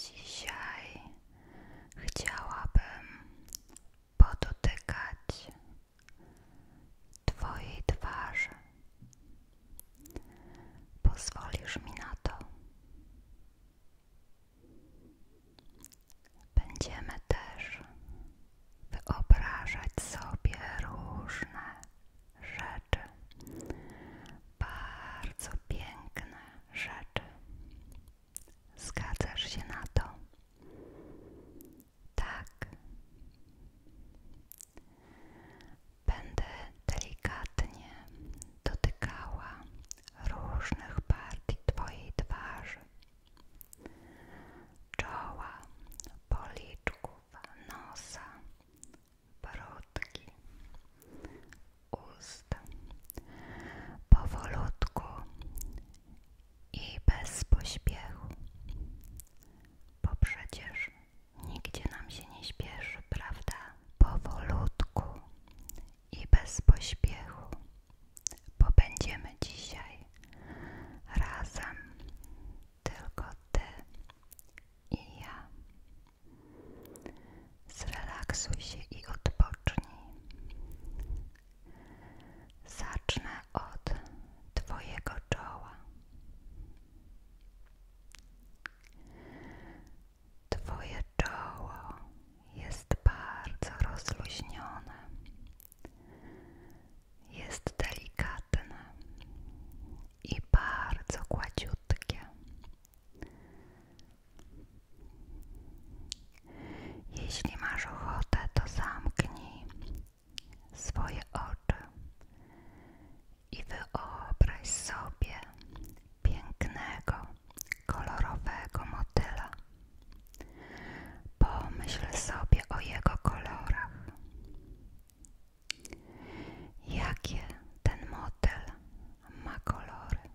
Dzisiaj chciałabym podotykać Twojej twarzy. Pozwolisz mi na to. Będziemy też wyobrażać sobie różne rzeczy, bardzo piękne rzeczy. Zgadzasz się na to? Tak. Będę delikatnie dotykała różnych partii Twojej twarzy, czoła, policzków, nosa, brodki, ust. Powolutku i bez pośpiechu, bo przecież nigdzie nam się nie śpieszy, prawda? Powolutku i bez pośpiechu, bo będziemy dzisiaj razem tylko ty i ja. Zrelaksuj się i odpocznij. Zacznę od Twojego czoła. Twoje czoło jest bardzo rozluźnione, jest delikatne i bardzo gładziutkie. Jeśli masz ochotę, to zamknij swoje oczy i wyobraź sobie pięknego, kolorowego motyla. Pomyśl sobie o jego kolorach. Jakie ten model ma kolory?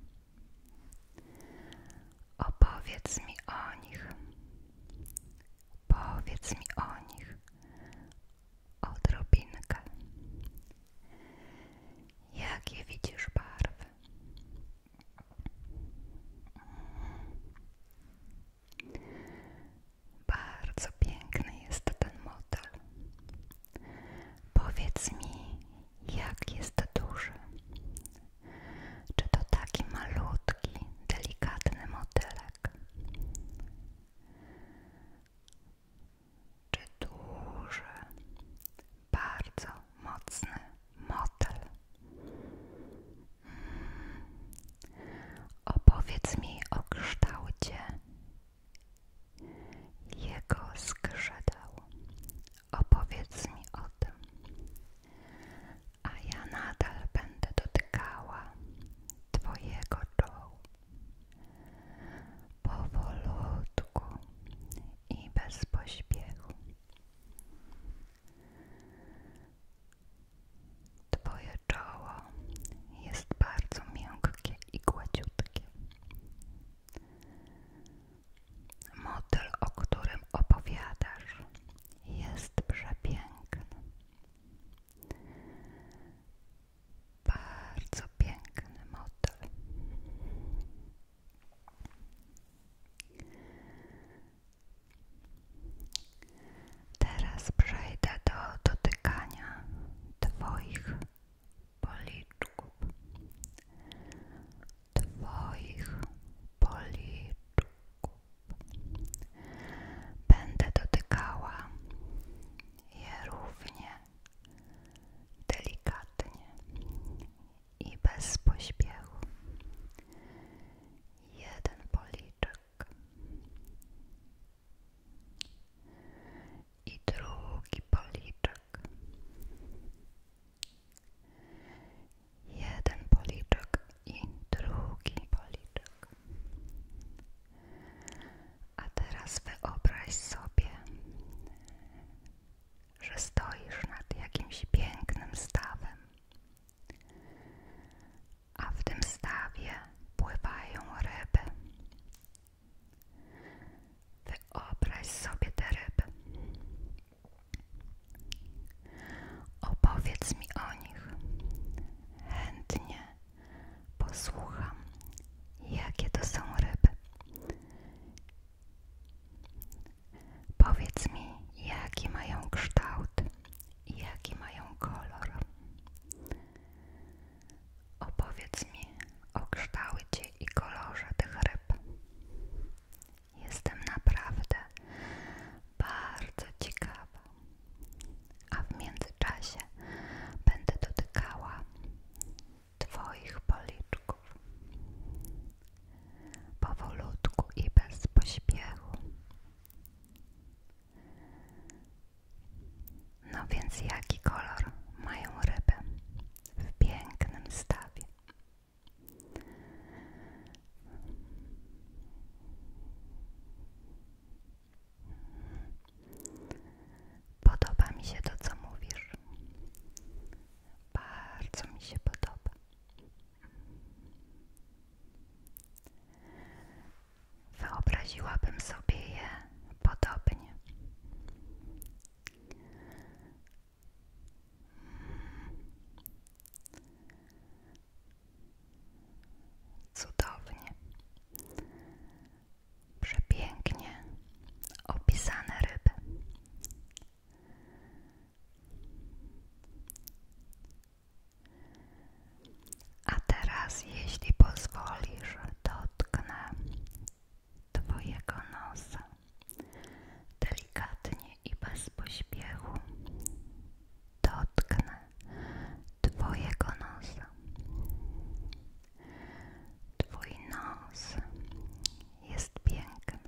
Opowiedz mi o nich. Opowiedz mi o nich odrobinkę. Jakie widzisz barwy? Bardzo piękny jest ten model. Powiedz mi, jak jest duży? Czy to taki malutki, delikatny modelek? Czy duży, bardzo mocny model? Opowiedz mi o kształcie jego skrzydeł. Opowiedz mi o tym. A ja nadal będę dotykała Twojego czołu. Powolutku i bez pośpiechu. Twoje czoło jest bardzo miękkie i gładziutkie. Model, o którym opowiadasz, jest przepiękny. Bardzo piękny model. Teraz przejdę do dotykania Twoich policzków. Twoich policzków. Będę dotykała je równie delikatnie i bez pośpiechu. Jeden policzek, tak. I drugi policzek. Jeden policzek i drugi policzek. A teraz wyobraź sobie, że stoisz nad jakimś pięknym stawem a w tym stawie pływają ryby. Wyobraź sobie te ryby. Opowiedz mi o nich. Chętnie posłucham, jakie to są ryby. Powiedz mi, jaki mają kształt, i jaki mają kolor. Opowiedz mi o kształcie i kolorze tych ryb. Jestem naprawdę bardzo ciekawa, a w międzyczasie będę dotykała Twoich policzków. Powolutku i bez pośpiechu no więc jaki kolor mają ryby w pięknym stawie? Podoba mi się to, co mówisz. Bardzo mi się podoba. Wyobraziłabym sobie je podobnie. Cudownie, przepięknie opisane ryby. A teraz, jeśli pozwolisz, dotknę Twojego nosa delikatnie i bez pośpiechu. Dotknę Twojego nosa. Twój nos jest piękny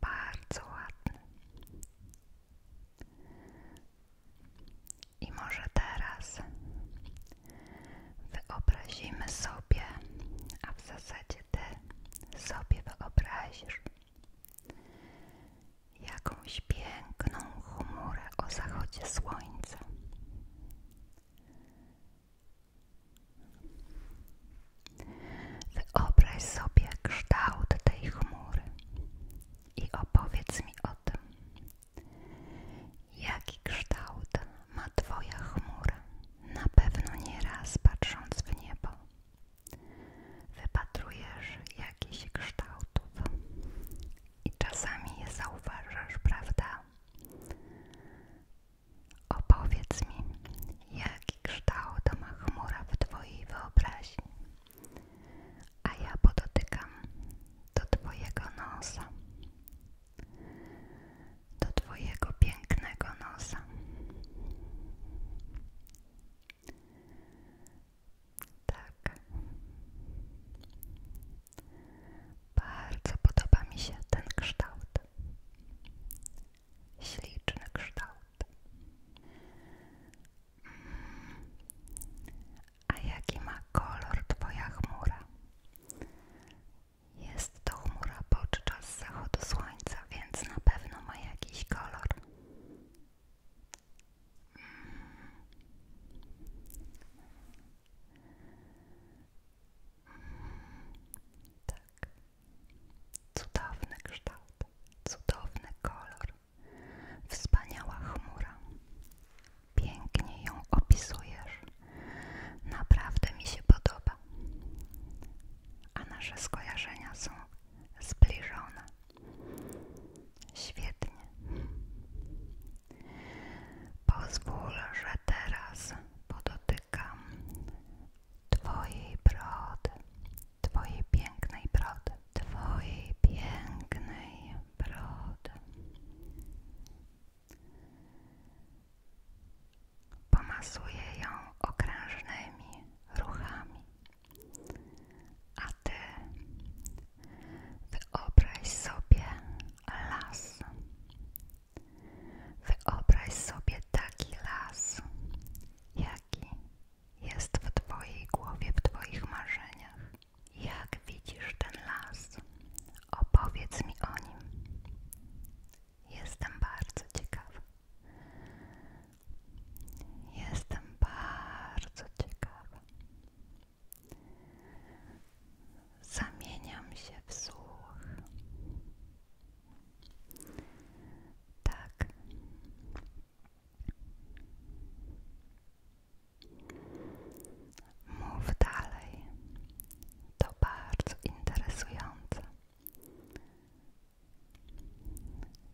bardzo ładny. I może teraz wyobrazimy sobie, a w zasadzie ty sobie wyobrazisz jakąś piękną chmurę o zachodzie słońca. Wyobraź sobie kształt tej chmury i opowiedz mi o tym. Jaki kształt ma Twoja chmura? Na pewno nieraz patrząc w niebo, wypatrujesz jakieś kształtów i czasami je zauważasz, prawda? Opowiedz mi, jaki kształt ma chmura w Twojej wyobraźni, a ja podotykam do Twojego nosa, do Twojego pięknego nosa. Tak. Bardzo podoba mi się ten kształt. Śliczny kształt. A jaki ma kolor Twoja chmura? Jest to chmura podczas zachodu słońca, więc na pewno ma jakiś kolor. Tak. Cudowny kształt, cudowny kolor, wspaniała chmura. Pięknie ją opisujesz. Naprawdę mi się podoba. A nasze skojarzenia są zbliżone. Świetnie. Pozwól, że teraz podotykam Twojej brody, Twojej pięknej brody, Twojej pięknej brody. Pomasuję ją okrężnymi ruchami, a Ty wyobraź sobie las, Wyobraź sobie taki las, jaki jest w Twojej głowie, w Twoich marzeniach. Jak widzisz ten las? Opowiedz mi o nim. Jestem bardzo ciekawa. Jestem bardzo ciekawa. Zamieniam się w słuch. Tak. Mów dalej. To bardzo interesujące.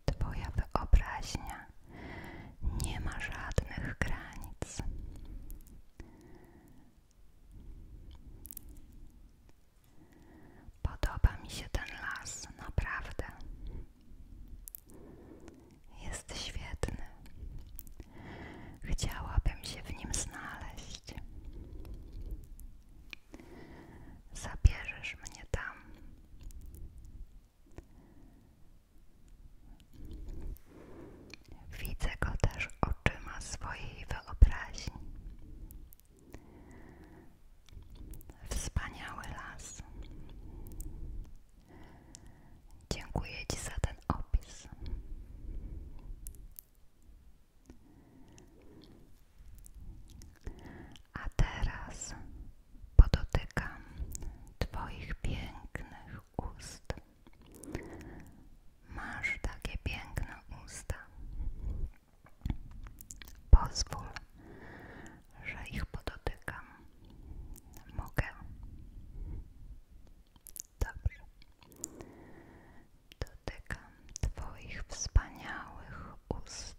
Twoja wyobraźnia nie ma żadnych granic. Podoba mi się ten las, naprawdę. Jest świetny. Chciałabym się w nim znaleźć. Zabierzesz mnie tam. Widzę go też oczyma swojej wyobraźni. Wspaniały las. Dziękuję Ci za ten opis. A teraz podotykam Twoich pięknych ust. Masz takie piękne usta. Pozwól, że ich podotykam. Mogę. Dobrze. Dotykam Twoich wspaniałych ust.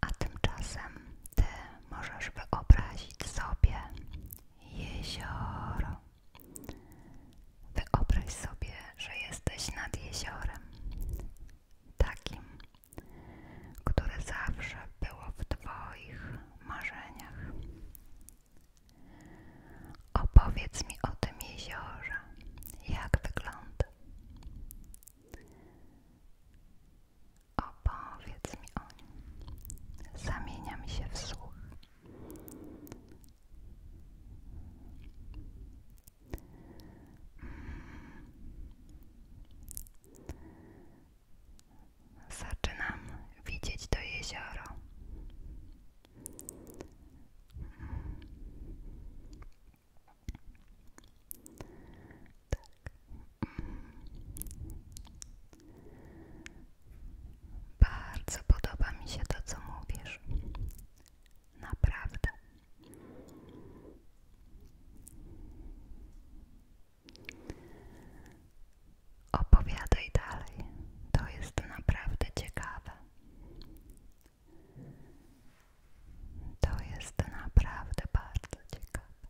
A tymczasem Ty możesz wyobrazić sobie jezioro. Wyobraź sobie, że jesteś nad jeziorem, takim, które zawsze było w Twoich marzeniach. Opowiedz mi o tym jeziorze, jak wygląda. Opowiedz mi o Zamieniam się w słuch. Hmm. Zaczynam widzieć to jezioro. Hmm tak. Bardzo podoba mi się to, co mówisz. Naprawdę. Opowiadaj dalej. To jest naprawdę ciekawe. To jest naprawdę bardzo ciekawe.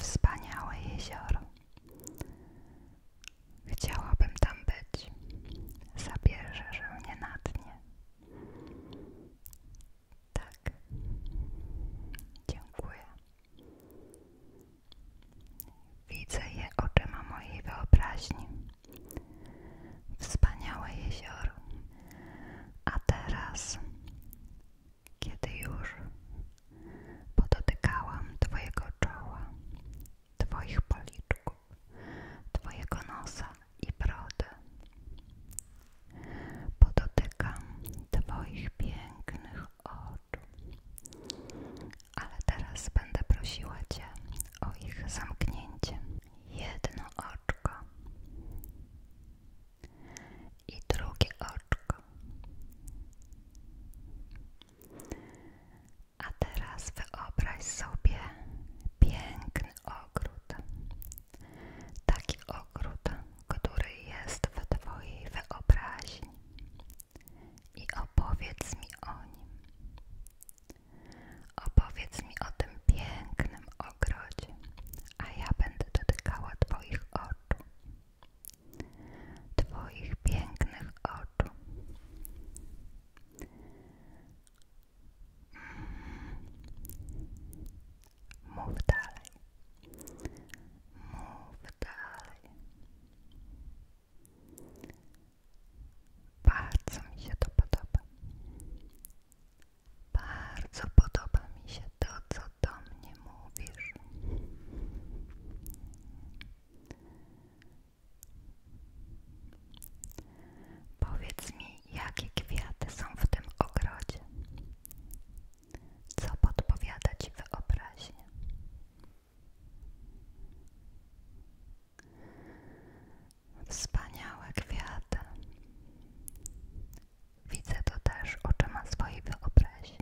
Wspaniałe jezioro. Chciałabym tam być. Zabierzesz mnie na dnie. Tak. Dziękuję. Widzę je oczyma mojej wyobraźni. Wspaniałe jezioro. A teraz, kiedy już podotykałam Twojego czoła, Twoich policzków, Twojego nosa i brody, podotykam Twoich pięknych oczu. Ale teraz będę prosiła Cię o ich zamknięcie. Jedno oczko i drugie oczko. A teraz wyobraź sobie piękny ogród. Taki ogród, który jest w Twojej wyobraźni i opowiedz mi o nim. Opowiedz mi o tym pięknym ogrodzie, a ja będę dotykała Twoich oczu. Twoich pięknych oczu. Mm. Mów dalej. Mów dalej. Bardzo mi się to podoba. Bardzo podoba mi się to, co do mnie mówisz. Powiedz mi, jakie kwiaty są w tym ogrodzie? Co podpowiada Ci wyobraźnia? Wspaniałe kwiaty. Widzę to też oczyma swojej wyobraźni.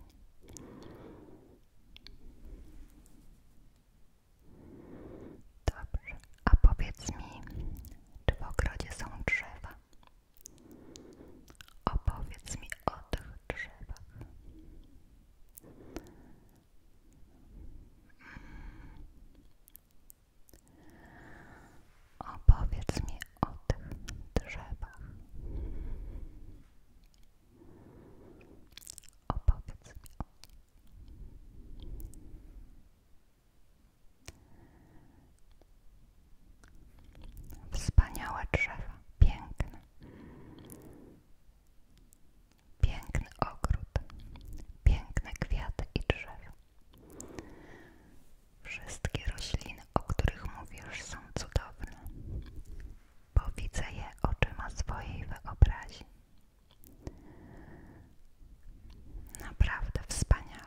Dobrze, a powiedz mi, czy w ogrodzie są drzewa? Mm. Opowiedz mi o tych drzewach. Opowiedz mi o tych drzewach. Opowiedz mi Wspaniałe drzewa, piękne. Piękny ogród, piękne kwiaty i drzewa. Wszystkie rośliny, o których mówisz, są cudowne, bo widzę je oczyma swojej wyobraźni. Naprawdę wspaniale.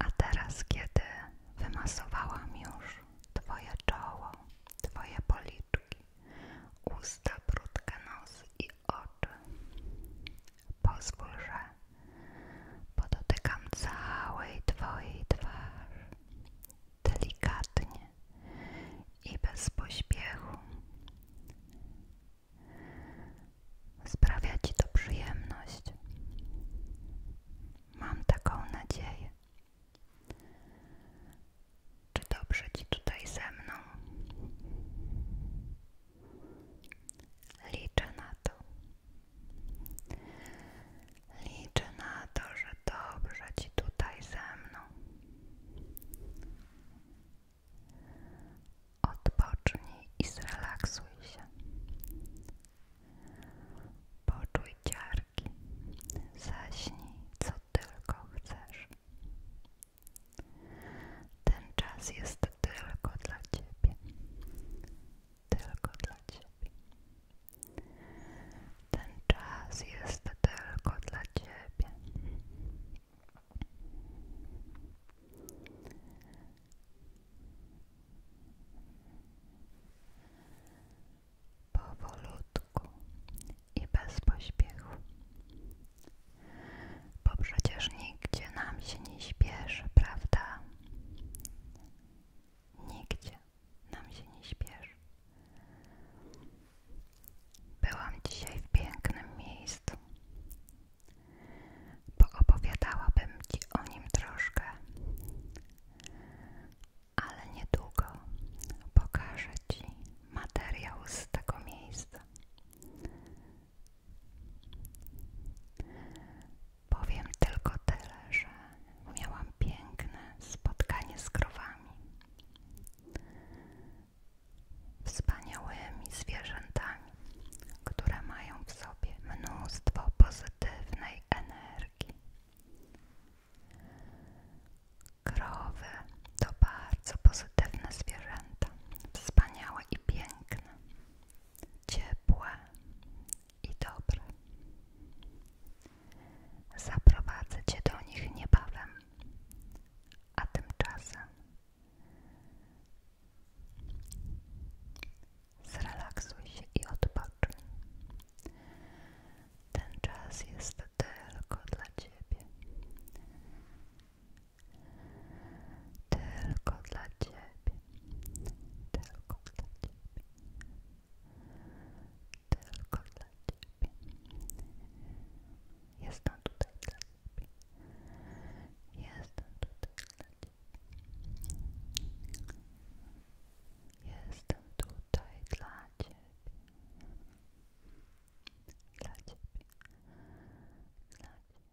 A teraz, kiedy wymasowałam już Twoje czoło, Twoje policzki, usta, brudkę, nos i oczy, pozwól, że dotykam całej Twojej twarzy delikatnie i bez pośpiechu. Sprawia ci to przyjemność. Mam taką nadzieję. Czy dobrze ci tutaj ze mną? Liczę na to. Liczę na to, że dobrze ci tutaj ze mną. Odpocznij i zrelaksuj się. Poczuj ciarki. Zaśnij, co tylko chcesz. Ten czas jest tylko dla ciebie. Tylko dla ciebie. Ten czas jest tylko dla ciebie. Powolutku i bez pośpiechu, bo przecież nigdzie nam się nie śpieszy, prawda? Nigdzie nam się nie śpieszy. Byłam dzisiaj w pięknym miejscu. bo Poopowiadałabym Ci o nim troszkę, ale niedługo pokażę Ci materiał z tego miejsca. Powiem tylko tyle, że miałam piękne spotkanie z krowami wspaniałymi zwierzętami, które mają w sobie mnóstwo pozytywnej energii. Krowy to bardzo pozytywne zwierzęta, wspaniałe i piękne, ciepłe i dobre. Zaprowadzę cię do nich niebawem, a tymczasem zrelaksuj się i odpocznij. Ten czas jest tylko dla ciebie. Tylko dla ciebie. Tylko dla ciebie. Tylko dla ciebie. Jestem tutaj dla ciebie. Jestem tutaj dla ciebie. Jestem tutaj dla ciebie. Dla ciebie. Dla ciebie.